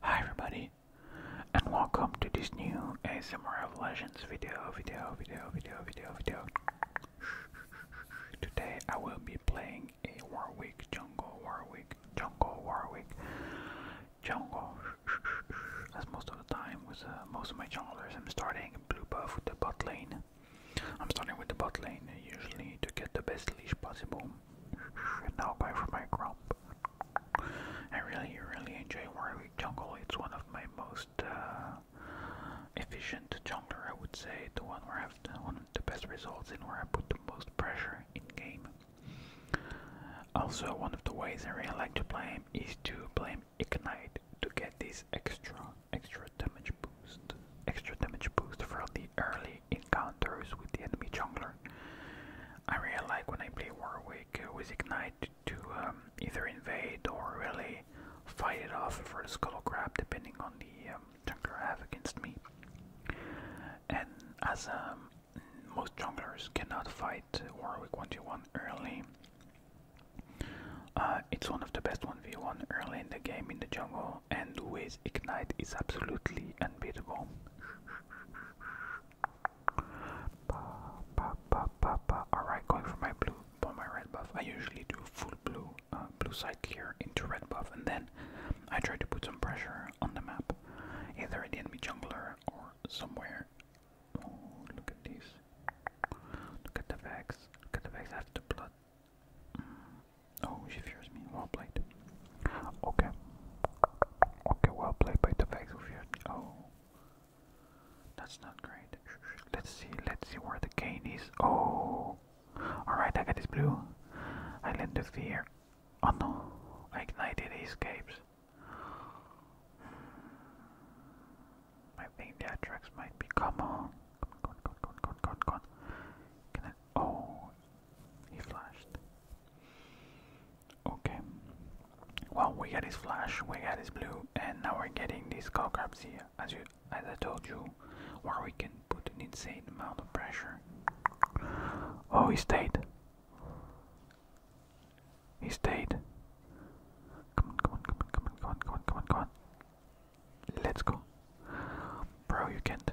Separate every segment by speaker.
Speaker 1: Hi everybody and welcome to this new ASMR of Legends video, video, video, video, video, video. Today I will be playing a Warwick, Jungle Warwick, Jungle Warwick, Jungle. As most of the time with uh, most of my junglers, I'm starting blue buff with the bot lane. I'm starting with the bot lane usually to get the best leash possible now go for my grump. I really, really enjoy Warwick Jungle. It's one of my most uh, efficient jungler, I would say. The one where I have the, one of the best results and where I put the most pressure in game. Also, one of the ways I really like to play him is to play Ignite to get this extra, extra damage boost, extra damage boost from the early encounters with the enemy jungler. I really like when I play Warwick with Ignite to um, either invade or really fight it off for the Skull Grab depending on the um, jungler I have against me. And as um, most junglers cannot fight Warwick 1v1 early, uh, it's one of the best 1v1 early in the game in the jungle and with Ignite it's absolutely unbeatable. Alright, going for my blue, for my red buff. I usually do full blue, uh, blue side clear into red buff, and then I try to put some pressure on the map, either at the enemy jungler or somewhere. Oh, look at these. Look at the Vex. Look at the Vex after blood. Mm. Oh, she fears me. Well blade. Okay. Okay, well played by the Vex of your oh that's not great. Let's see, let's see where the gain is. Oh Alright, I got this blue. I lend the fear. Oh no, I ignited, escapes. I think the might be. Come on. Gone, gone, gone, gone, gone, gone. Can I? Oh, he flashed. Okay. Well, we got his flash, we got his blue, and now we're getting these skull crabs here, as you, as I told you, where we can put an insane amount of pressure. Oh, he stayed. He stayed. come on, come on, come on, come on, come on, come on, come on. Let's go. Bro, you can't.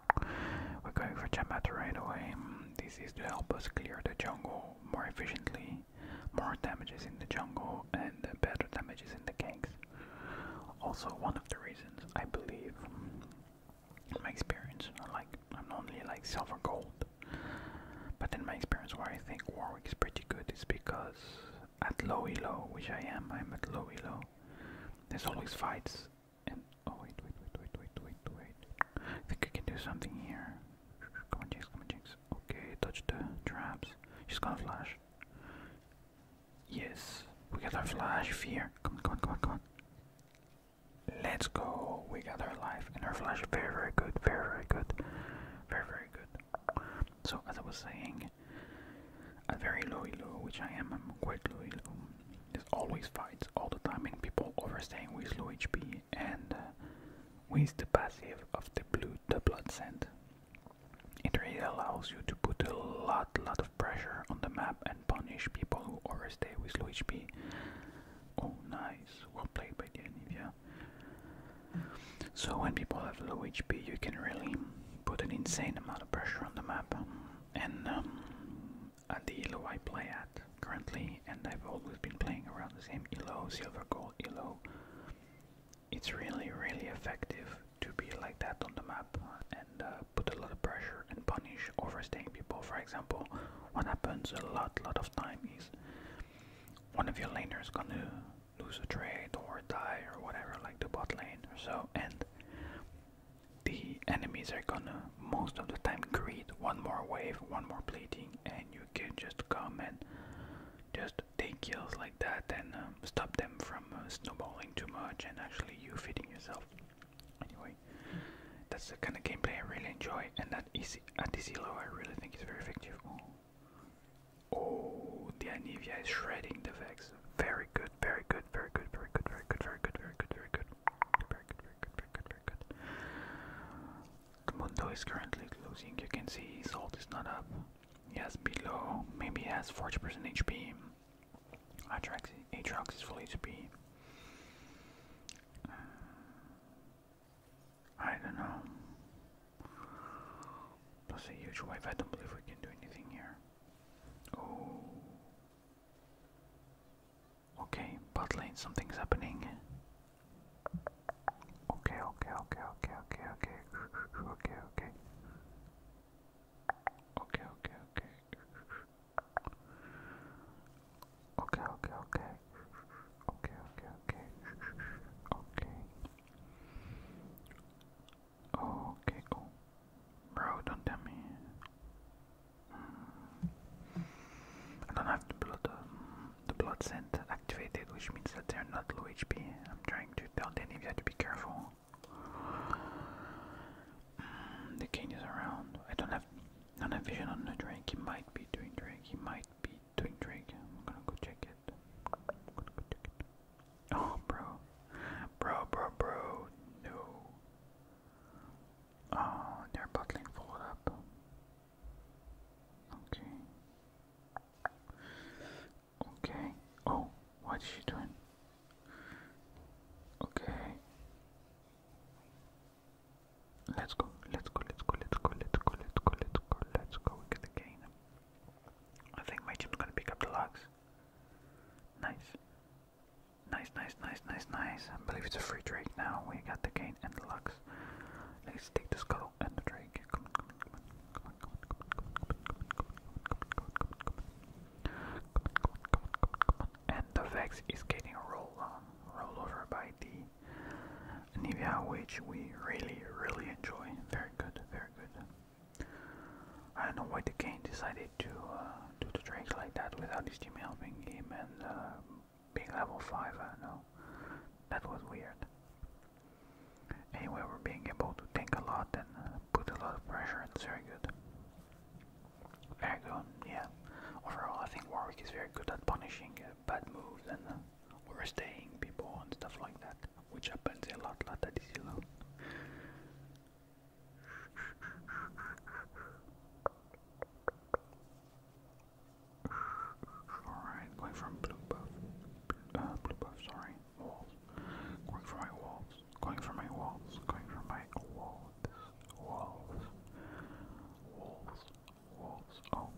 Speaker 1: We're going for Chamata right away. This is to help us clear the jungle more efficiently. More damages in the jungle and better damages in the gangs. Also, one of the reasons I believe, in my experience, I like I'm only like silver gold, but in my experience, where I think Warwick is pretty good is because at low elo, which I am, I'm at low elo. There's always fights oh wait, wait, wait, wait, wait, wait, wait. I think I can do something here. Come on, Jinx, come on, Jinx. Okay, touch the traps. She's gonna flash. Yes, we got her flash fear. Come on, come on, come on, come on. Let's go. We got her life and her flash. Very, very good. Very, very good. Very, very good. So as I was saying, a very lowy Lou, which I am, i quite low, Lou. always fights all the time and people overstaying with low HP and uh, with the passive of the blue, the blood scent. It really allows you to put a lot, lot of pressure on the map and punish people who overstay with low HP. Oh, nice. Well played by the Anivia. So when people have low HP, you can really put an insane amount of pressure on the map and um, at the elo I play at currently, and I've always been playing around the same elo, silver, gold elo. It's really, really effective to be like that on the map and uh, put a lot of pressure and punish overstaying people. For example, what happens a lot, lot of time is one of your laners gonna lose a trade or die or whatever, like the bot lane or so, and the enemies are gonna most of the time create one more wave, one more plating, and you can just come and just take kills like that and um, stop them from uh, snowballing too much and actually you feeding yourself. Anyway, that's the kind of gameplay I really enjoy, and that is at this level I really think is very effective. oh the Anivia is shredding the Vex. Very good, very good good, very good, very good, very good, very good, very good, very good, very good, very good, very good, very good. The Mundo is currently losing. You can see Salt is not up. He has below. Maybe he has 40% HP. Atrax, Atrax is full HP. Uh, I don't know. That's a huge wave. I don't believe we can do anything here. Oh. Okay, bot lane, something's happening. Okay, okay, okay, okay, okay, okay, okay, okay. Okay, okay, okay. Okay, okay, okay. Okay, okay, okay. Okay. Okay, oh. Bro, don't tell me. Hmm. I don't have the blood, uh, the blood scent activated, which means that they're not low HP. I'm trying to tell Denivia to be careful. Hmm, the king is around. I don't have, don't have vision on the drink. He might be doing drink. He might be doing drink. I'm gonna go check it. Oh, bro. Bro, bro, bro. No. Oh, they're bottling full Okay. Okay. Oh, what's she doing? Okay. Let's go, let's go, let's go, let's go, let's go, let's go, let's go, let's go, get the game. I think my team's gonna pick up the logs. Nice. Nice, nice, nice, nice, nice. I believe it's a free drake now. We got the gain and the lux. Let's take the skull and the drake. Come on, come on, come on, come on, come on, And the Vex is getting rolled on, rolled over by the Nivea, which we really, really enjoy. Very good, very good. I don't know why the Kane decided to uh, do the tricks like that without his team helping him and uh, being level 5, I know. That was weird. Anyway, we're being able to think a lot and uh, put a lot of pressure, it's very good. Very good, yeah. Overall, I think Warwick is very good at punishing bad moves and uh, overstaying people and stuff like that, which happens a lot, lot at this level. Alright, going from blue buff, uh, blue buff, sorry, walls, going for my walls, going for my walls, going for my walls, walls, walls, walls, oh.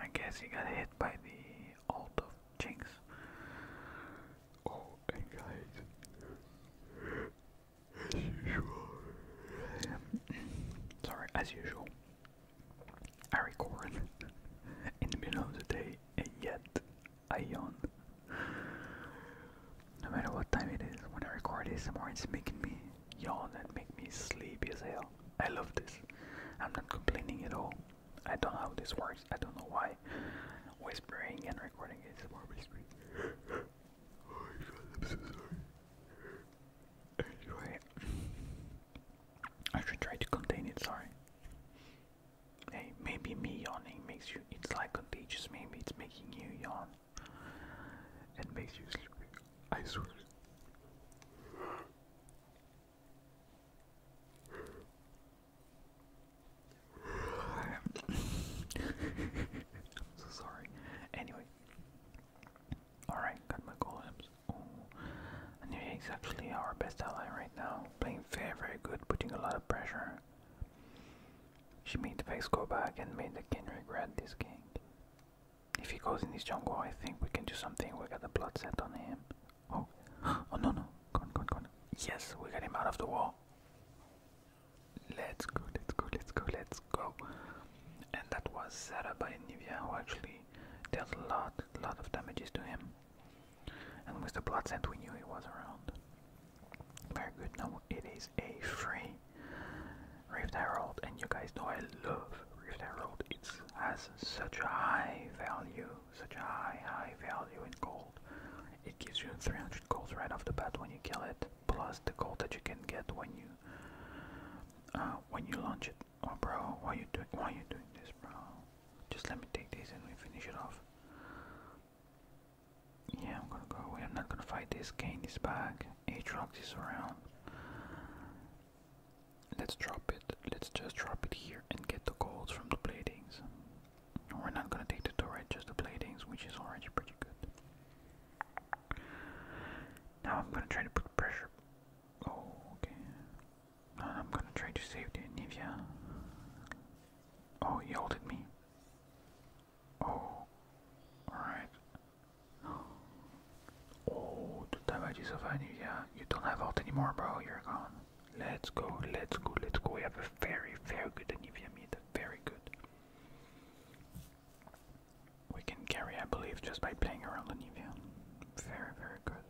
Speaker 1: I guess he got hit by the alt of Jinx. Oh, guys, as usual, sorry, as usual, I record in the middle of the day and yet I yawn. No matter what time it is, when I record ASMR, it's making me yawn and make me sleepy as hell. I love this. I'm not complaining at all. I don't know how this works. I don't know why whispering and recording is more whispering. oh my god, I'm so sorry. Anyway, I should try to contain it. Sorry. Hey, maybe me yawning makes you. It's like contagious. Maybe it's making you yawn. It makes you sleepy. I swear. I'm so sorry. Anyway. Alright, got my golems. Oh. And he's actually our best ally right now. Playing very, very good, putting a lot of pressure. She made the face go back and made the king regret this king. If he goes in this jungle, I think we can do something. We got the blood set on him. Oh, oh no, no. Go go go Yes, we got him out of the wall. Let's go, let's go, let's go, let's go. And that was set up by Nivia, who actually dealt a lot, lot of damages to him. And with the blood scent, we knew he was around. Very good. Now it is a free Rift Herald, and you guys know I love Rift Herald. It has such a high value such high, high value in gold. It gives you 300 gold right off the bat when you kill it, plus the gold that you can get when you uh, when you launch it. Oh, bro, why you doing? Why you doing this, bro? Just let me take this and we finish it off. Yeah, I'm gonna go I'm not gonna fight this. Kane is back. Aatrox is around. Let's drop it. Let's just drop it here and get the golds from the platings. We're not gonna take the turret, just the platings, which is already pretty good. Now I'm gonna try to put pressure. Oh, okay. I'm gonna try to save the Nivea. Oh, he ulted me. Oh, alright. Oh, the damage is of Nivea. You don't have ult anymore, bro. You're gone. Let's go, let's go, let's go. We have a very, very good Anivia meat. Very good. We can carry, I believe, just by playing around Anivia. Very, very good.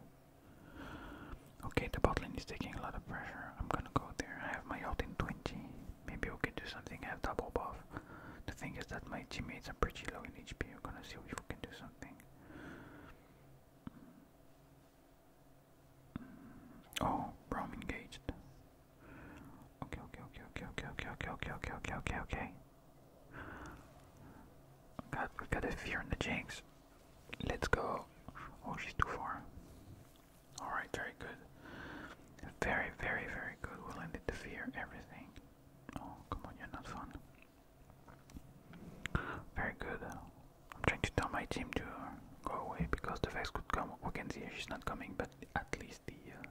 Speaker 1: Okay, the bot lane is taking a lot of pressure. I'm gonna go there. I have my ult in 20. Maybe we can do something. I have double buff. The thing is that my teammates are pretty low in HP. I'm gonna see if we can do something. Oh, Rome engaged. Okay, okay, okay, okay, okay, okay, okay, okay, okay, okay, okay, God, we got a fear in the jinx. Let's go. Oh, she's too far. Alright, very good. Very, very, very good. We'll end it the fear, everything. Oh, come on, you're not fun. Very good. I'm trying to tell my team to uh, go away because the Vex could come. We can see she's not coming, but at least the uh,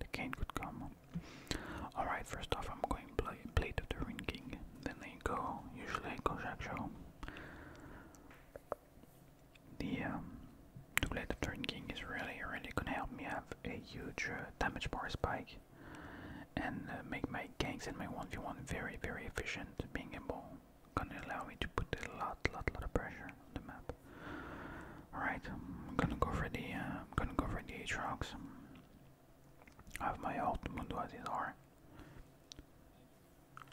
Speaker 1: the Kane could come. Alright, first off, I'm going play Blade of the Ring King. Then I go, usually I go Jack Show. The, um, the Blade of the Ring King is really, really gonna help me have a huge uh, damage power spike and uh, make my gangs and my 1v1 very, very efficient. Being able gonna allow me to put a lot, lot, lot of pressure on the map. Alright, I'm gonna go for the, uh, I'm gonna go for the H rocks. I have my alt Mundo as is R.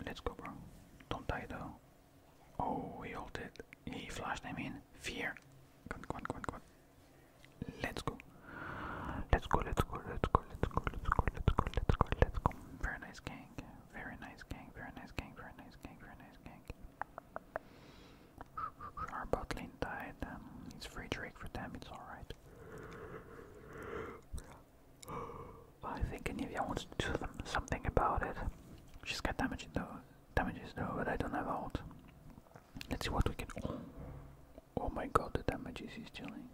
Speaker 1: Let's go, bro. Don't die though. Oh, he ulted. He flashed, I mean. Fear. Go on, go on, go on, go on. Let's go. Let's go, let's go, let's go, let's go, let's go, let's go, let's go, let's go. Very nice gang. Very nice gang. Very nice gang. Very nice gang. Very nice gang. Our bot lane died. Um, it's free Drake for them, it's alright. I think Anivia wants to do something about it. She's got damage though damages though, but I don't have ult. Let's see what we can Oh, oh my god the damages he's dealing.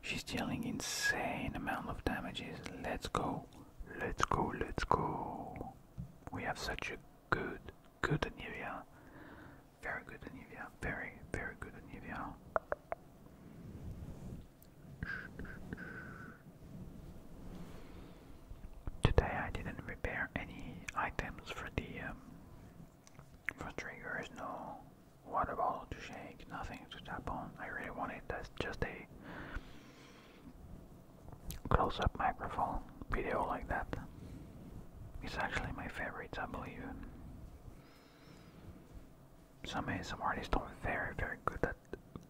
Speaker 1: She's dealing insane amount of damages. Let's go. Let's go, let's go. We have such a good, good Anivia. Very good Anivia. Very, very good Anivia. Today I didn't repair any items for the um, for triggers, no water bottle to shake, nothing to tap on. I really wanted that's just a close up microphone video like that. It's actually my favorite, I believe. Some some artists don't very, very good at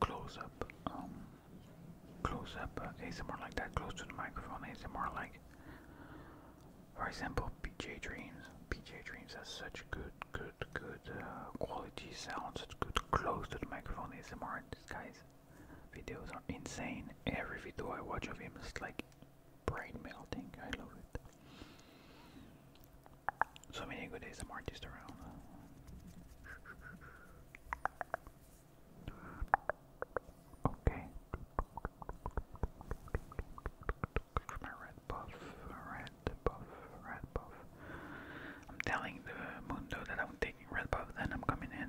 Speaker 1: close up. Um, close up uh, ASMR like that, close to the microphone more like for example, PJ Dreams. PJ Dreams has such good, good, good uh, quality sound, It's good close to the microphone It's ASMR. This guy's videos are insane. Every video I watch of him is like brain melting. I love it. So many good ASMR artists around. Okay. red buff, red buff, red buff. I'm telling the Mundo that I'm taking red buff, then I'm coming in.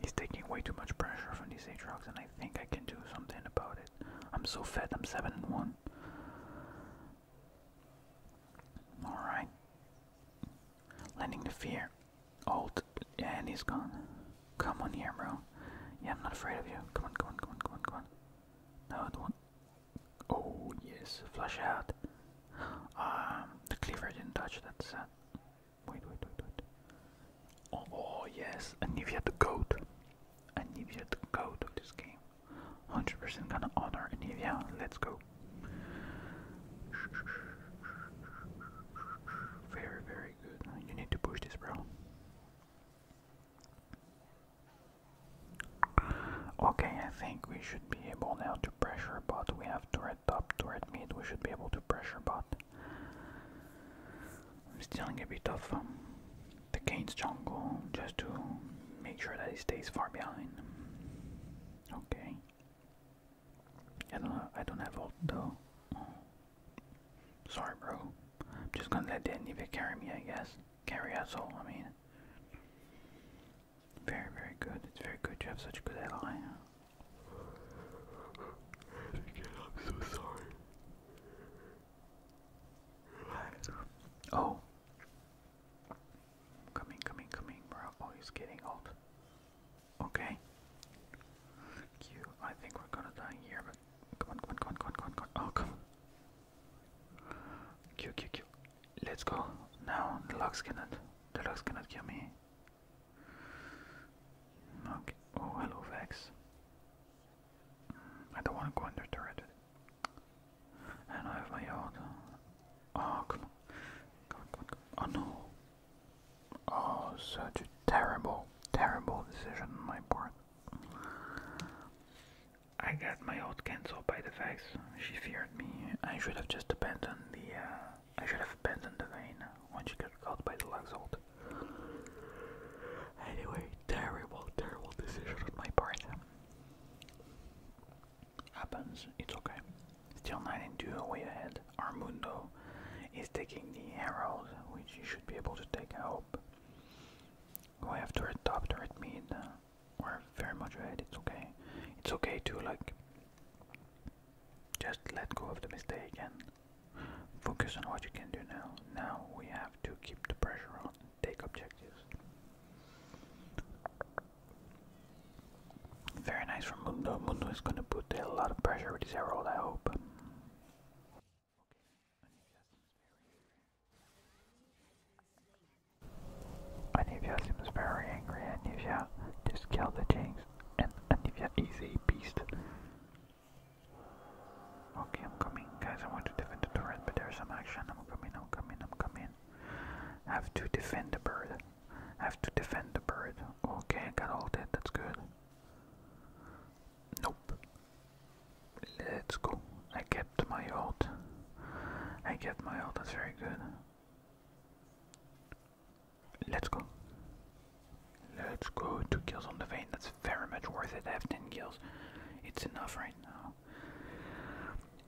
Speaker 1: He's taking way too much pressure from these Aatrox, and I think I can do something about it. I'm so fed, I'm 7 and 1. Alright. Lending the fear. Alt. and he's gone. Come on here, bro. Yeah, I'm not afraid of you. Come on, come on, come on, come on, come on. No, don't. Oh, yes. Flush out. Um, the cleaver didn't touch. that. sad. Wait, wait, wait, wait. Oh, oh yes. Anivia the goat. Anivia the goat of this game. 100% gonna honor Anivia. Let's go. Very, very you need to push this, bro. Okay, I think we should be able now to pressure but We have turret top, turret mid. We should be able to pressure but I'm stealing a bit of um, the king's jungle just to make sure that he stays far behind. Okay. I don't know. I don't have ult though. Oh. Sorry, bro. I'm just gonna let that Nivea carry me, I guess. Carry us all, I mean. Very, very good. It's very good you have such a good ally. I'm so sorry. Oh. Coming, coming, coming, bro. Oh, he's getting ult. Okay. Q, I think we're gonna die here, but come on, come on, come on, come on, come on, Oh, come on. Q, Q, Q. Let's go. Now, the locks cannot, the locks cannot kill me. Okay. Oh, hello, Vex. Mm, I don't want to go under turret. And I have my own. Oh, Come on, come on, come on. Oh, no. Oh, such a terrible, terrible decision on my part. I got my old cancelled by the fax. She feared me. I should have just abandoned the. Uh, I should have abandoned the vein when she got caught by the Luxolt. Anyway, terrible, terrible decision on my part. Happens. It's okay. Still 9 and 2 away ahead. Armando is taking the arrows, which he should be able to take, I hope. have to a top turret mid. We're very much ahead, it's okay. It's okay to like just let go of the mistake and focus on what you can do now. Now we have to keep the pressure on take objectives. Very nice from Mundo. Mundo is going to put a lot of pressure with his herald, I hope. Anivia seems very angry. Anivia just killed the Jinx, and Anivia is a beast. Okay, I'm coming, guys. I want to defend the turret, but there's some action. I'm coming, I'm coming, I'm coming. have to defend the bird have to defend the bird. Okay, I got all that, that's good. Nope. Let's go. I kept my ult. I kept my ult, that's very good. Let's go. Let's go. Two kills on the vein. That's very much worth it. I have 10 kills. It's enough right now.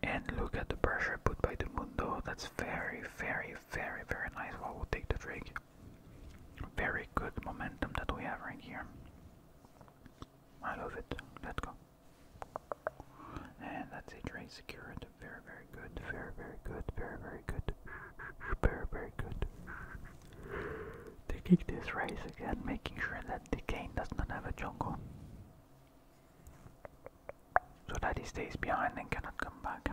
Speaker 1: And look at the pressure put by the Mundo. That's very, very, very, very nice. Well, we'll take the drink. Very good momentum that we have right here. I love it. Let's go. And that's it, right? Secured. Very, very good. Very, very good. Very, very good. Very, very good. They kick this race again, making sure that the cane does not have a jungle. So that he stays behind and cannot come back.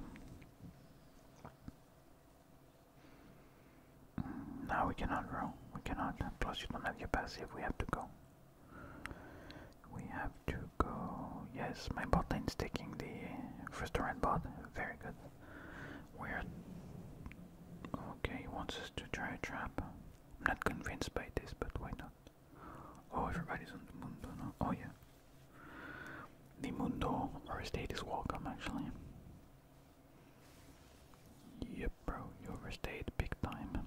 Speaker 1: Now we cannot row. We cannot. Plus you don't have your passive. We have to go. We have to go. Yes, my bot is taking the first round bot. Very good. We're Okay, he wants us to try a trap. I'm not convinced by this, but why not? Oh, everybody's on the moon. Oh yeah. The Mundo or state is welcome actually. Yep, bro, you overstayed big time.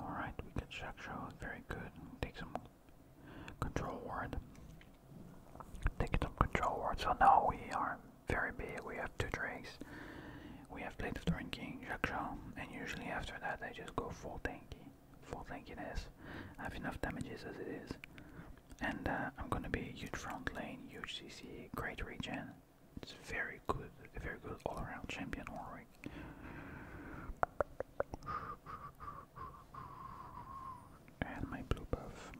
Speaker 1: Alright, we can check show, very good. Take some control ward. Take some control ward. So now we are very big. We have two drakes. We have Blade of the Ring King, Jaksha, and usually after that I just go full tanky full tankiness. have enough damages as it is. And uh, I'm gonna be huge front lane, huge CC, great regen. It's very good, very good all-around champion Ulrich. And my blue buff.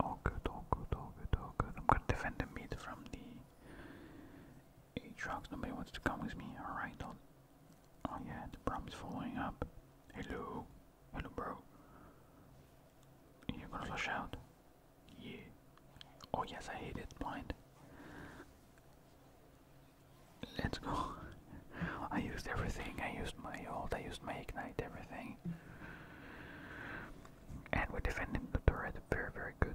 Speaker 1: All good, all good, all good, all good. I'm gonna defend the mid from the Aatrox. Nobody wants to come with me. Alright, I'll Oh yeah, the prom is following up. Hello, hello, bro. You're gonna flush out? Yeah. Oh yes, I hate it. Blind. Let's go. I used everything. I used my ult. I used my ignite. Everything. And we're defending the turret. Very, very good.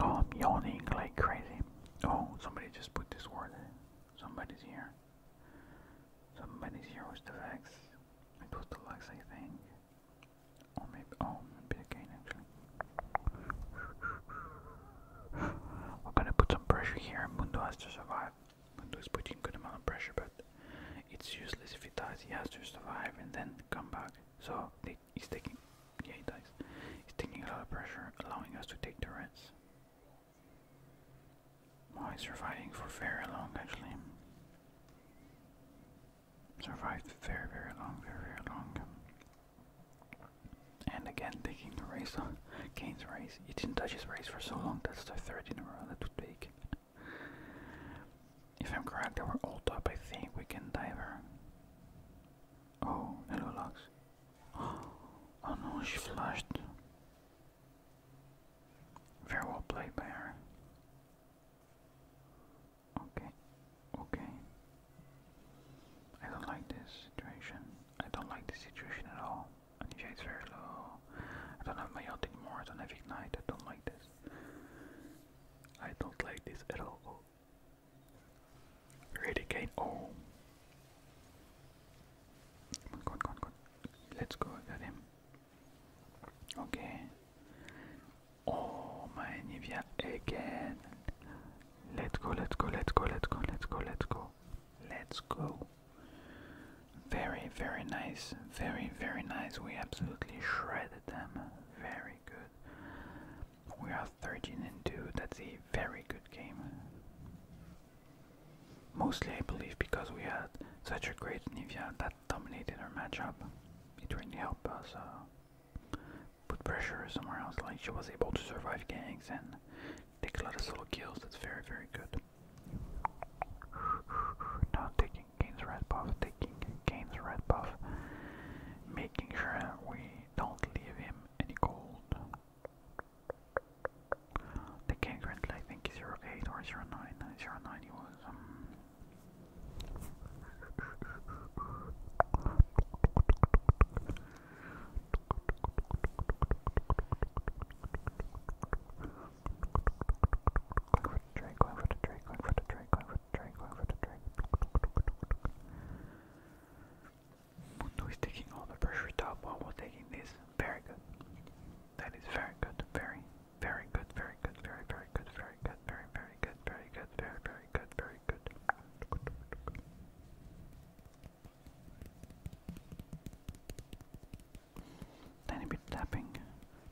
Speaker 1: Oh, I'm yawning like crazy. Oh, somebody just put this word in. Somebody's here. Somebody's here with the Vex. It was the Lux, I think. Or maybe, oh, maybe again actually. We're gonna put some pressure here. Mundo has to survive. Mundo is putting good amount of pressure, but it's useless if he dies. He has to survive and then come back. So he's taking, yeah, he dies. He's taking a lot of pressure, allowing us to take the Well, he's surviving for very long, actually. Survived very, very long, very, very long. And again, taking the race on Kane's race. He didn't touch his race for so long. That's the third in a row that would take. If I'm correct, they were all top. I think we can dive Oh, hello, Lux. Oh no, she flushed. Very well played by Okay, okay. I don't like this situation. I don't like this situation at all. Anisha is very low. I don't have my ult anymore. I don't have ignite. I don't like this. I don't like this at all. Ready again. Oh. Come come come Let's go, I Okay. Oh, my Nivea again. Let's go, let's go, let's go, let's go, let's go, let's go. Let's go. Very, very nice. Very, very nice. We absolutely shredded them. Very good. We are 13 and 2. That's a very good game. Mostly, I believe, because we had such a great Nivea that dominated our matchup. It really helped us uh, put pressure somewhere else. Like, she was able to survive ganks and take a lot of solo kills. That's very, very good. Not taking gains red buff, taking gains red buff, making sure we don't leave him any gold. The game currently I think is 08 or 09, he was. Um, Going for the trade, going for the trade, going for the trade, going for the train, Mundo is taking all the pressure top while we're taking this. Very good. That is very good. Very, very good. Very good. Very, very good. Very good. Very, very good. Very good. Very, very good. Very good. Tiny bit tapping,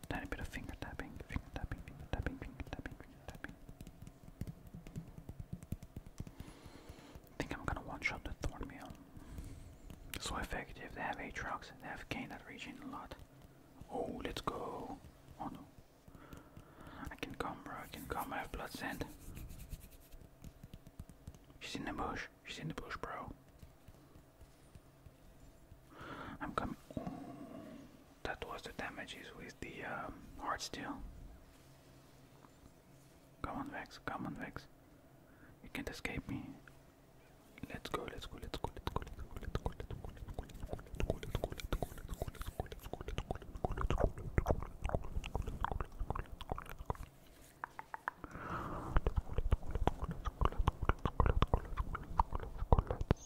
Speaker 1: tiny bit of finger tapping, finger tapping, finger tapping, finger tapping, finger tapping. I think I'm gonna one shot the Thornmail. So effective, they have 8 rocks, they have gained that region a lot. Oh, let's go. Oh no. I can come, bro, I can come, I have blood sand. She's in the bush, she's in the bush, bro. I'm coming. Ooh, that was the damages with the um, hard steel. Come on, Vex. Come on, Vex. You can't escape me. Let's go. Let's go. Let's go. Let's go. Let's go. Let's go. Let's go. Let's go. Let's go. Let's go. Let's go. Let's go. Let's go. Let's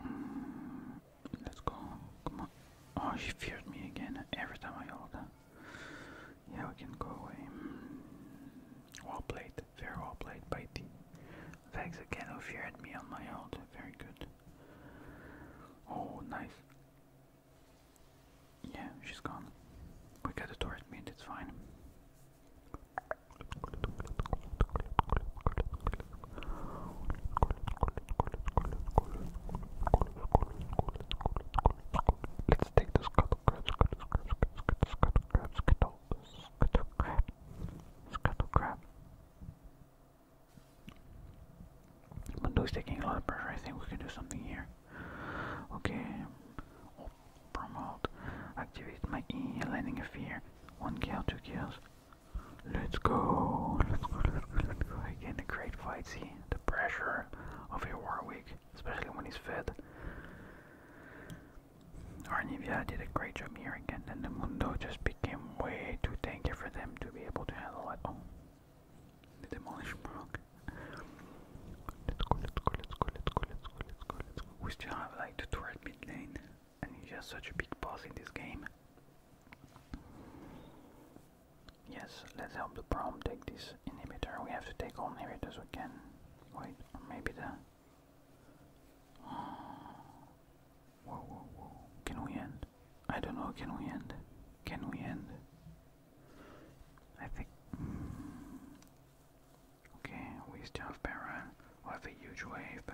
Speaker 1: Mm, let's go. Come on. Oh, she feared me again every time I hold her. Yeah, we can go away. Mm. Well played perfect. Very well played by T. Thanks again if you had me on my own. Very good. Oh, nice. Yeah, she's gone. We got a turret mid, it's fine. Let's take the scuttle, Scuttle crab. Scuttle crab. Mundo's taking a lot of pressure. I think we can do something here. Okay. Oh, promote. Activate my E. Landing a fear. One kill, two kills. Let's go. Let's go. Let's go. Let's Again, a great fight. See the pressure of your Warwick, especially when he's fed. Arnivia did a great job here again, and the Mundo just became way too tanky for them to be able to handle it. Oh, the demolition broke. Let's go, let's go, let's go, let's go, let's go, let's go, let's go. We still have like the turret mid lane, and he's just such a big boss in this game. Yes, let's help the prom take this inhibitor. We have to take all inhibitors we can. Wait, or maybe the can we end? I don't know. Can we end? Can we end? I think. Mm, okay, we still have Baron. we have a huge wave,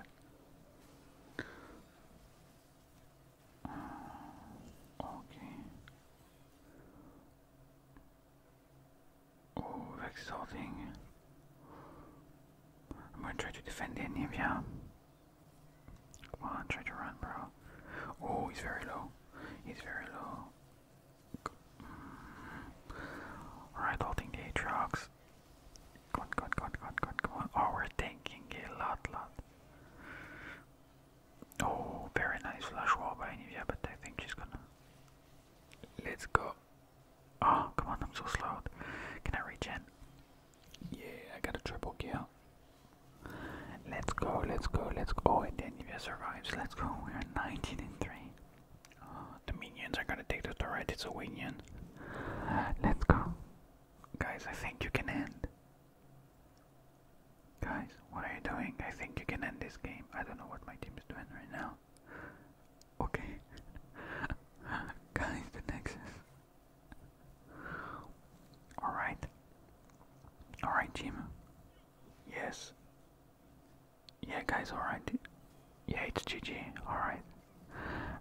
Speaker 1: uh, okay. Oh, that's exalting. I'm gonna try to defend the enemy, yeah. Come on, try to run, bro. Oh, he's very low. He's very low. Mm. Alright, holding the Aatrox. Come on, come on, come on, come on, come on, come on. Oh, we're tanking a lot, lot. Oh, very nice flash wall by Nivea, but I think she's gonna... Let's go. Oh, come on, I'm so slow. Can I regen? Yeah, I got a triple kill. Let's go, let's go, let's go. Oh, and then Nivea survives. Let's go. We are 19 and 3. Ah, the minions are gonna take the turret. It's a winion. Let's go. Guys, I think you can end. Guys, what are you doing? I think you can end this game. I don't know what my team is doing right now. Okay. Guys, the Nexus. Alright. Alright, Jim. Yes. Yeah, guys, alright. Yeah, it's GG. Alright.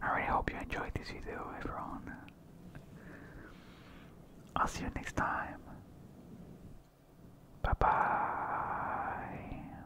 Speaker 1: I really hope you enjoyed this video, everyone. I'll see you next time. Bye bye.